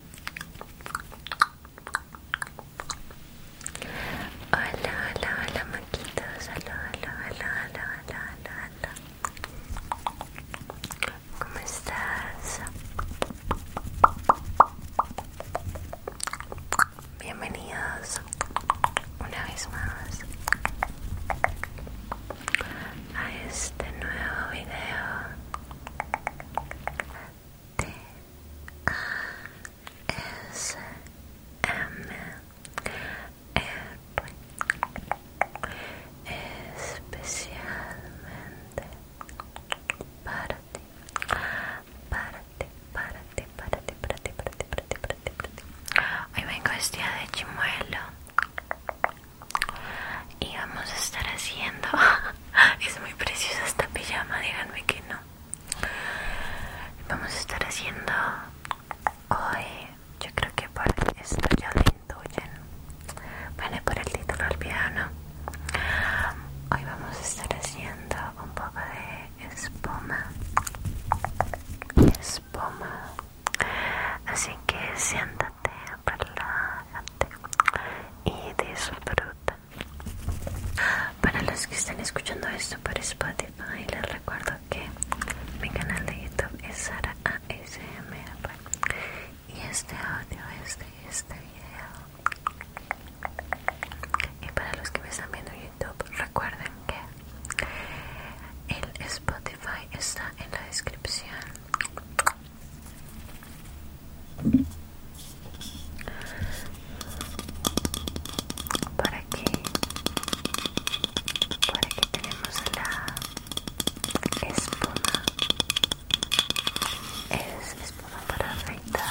Hola, hola, hola, Hola, hola, hola, hola, hola, hola. ¿Cómo estás? Bienvenidos una vez más a este nuevo video T A S M R especialmente para ti para ti para ti para ti para ti para ti para ti para ti para ti hoy vengo vestida de chimuelo y vamos a estar haciendo es muy preciosa esta pijama díganme que no vamos a estar haciendo hoy yo creo que por esto ya lo intuyen vale por el título piano hoy vamos a estar haciendo un poco de espuma espuma así que siéntate de y disfruta. Para los que están escuchando esto por Spotify, les recuerdo que mi canal de YouTube es Sara ASMR y este audio es de este video. Y para los que me están viendo en YouTube, recuerden que el Spotify está en la descripción para qué? para que tenemos la espuma es espuma para afeitar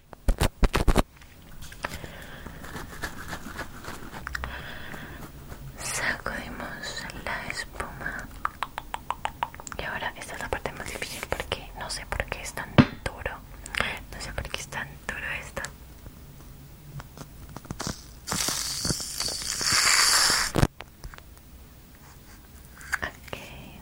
Sacudimos la espuma. Y ahora esta es la parte más difícil porque no sé por qué es tan duro. No sé por qué es tan duro esto. Okay.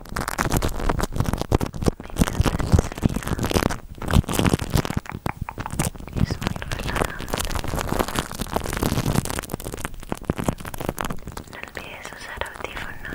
es muy relajante no olvides usar audífonos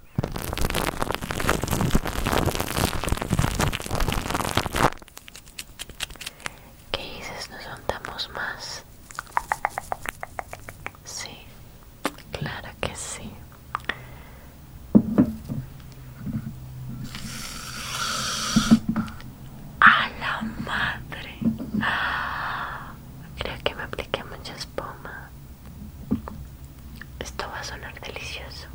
¿Qué dices? ¿Nos juntamos más? Sí, claro que sí. A la madre. Creo que me apliqué mucha espuma. Esto va a sonar delicioso.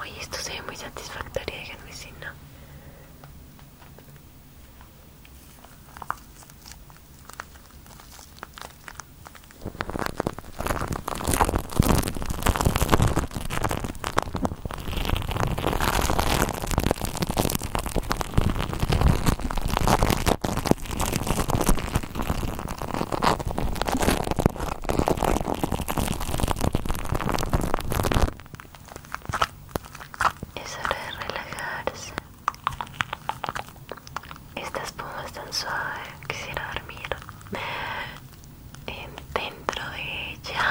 hoy esto se ve muy satisfactorio, déjenme es hora de relajarse. Esta espuma es tan suave, quisiera dormir dentro de ella.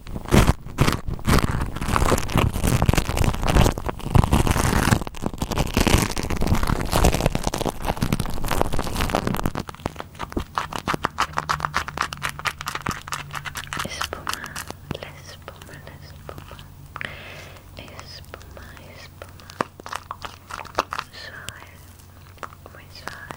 Espuma, la espuma, la espuma, espuma, espuma, suave, muy suave.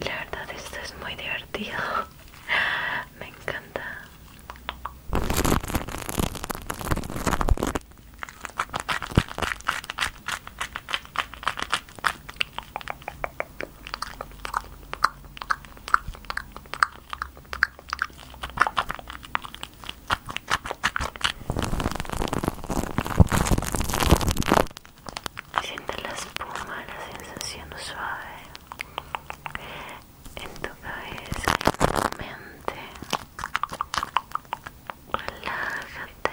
La verdad esto es muy divertido. Me encanta. Siente la espuma, la sensación suave en tu cabeza en tu mente. Relájate.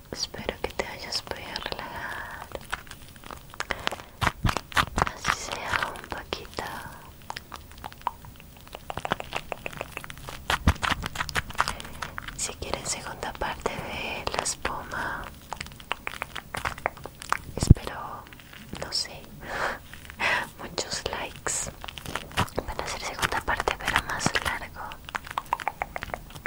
Espero que te hayas podido relajar. Así sea un poquito. Si quieren segunda parte de la espuma, espero, no sé, muchos likes. Van a ser segunda parte, pero más largo.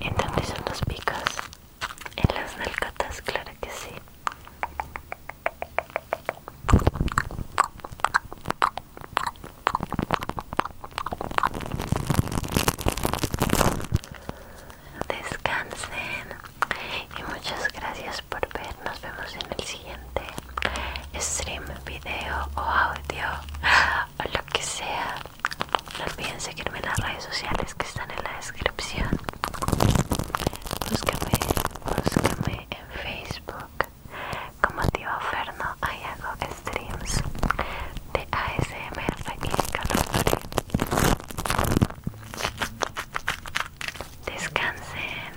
entonces son los picos? En las nalgatas, claro que sí. Descansen y muchas gracias por ver. Nos vemos en el siguiente stream, video o audio o lo que sea. No olviden seguirme en las redes sociales que están en la descripción. Búsqueme, búsquenme en Facebook como Tío Ferno. Ahí hago streams de ASMR y calor. Descansen.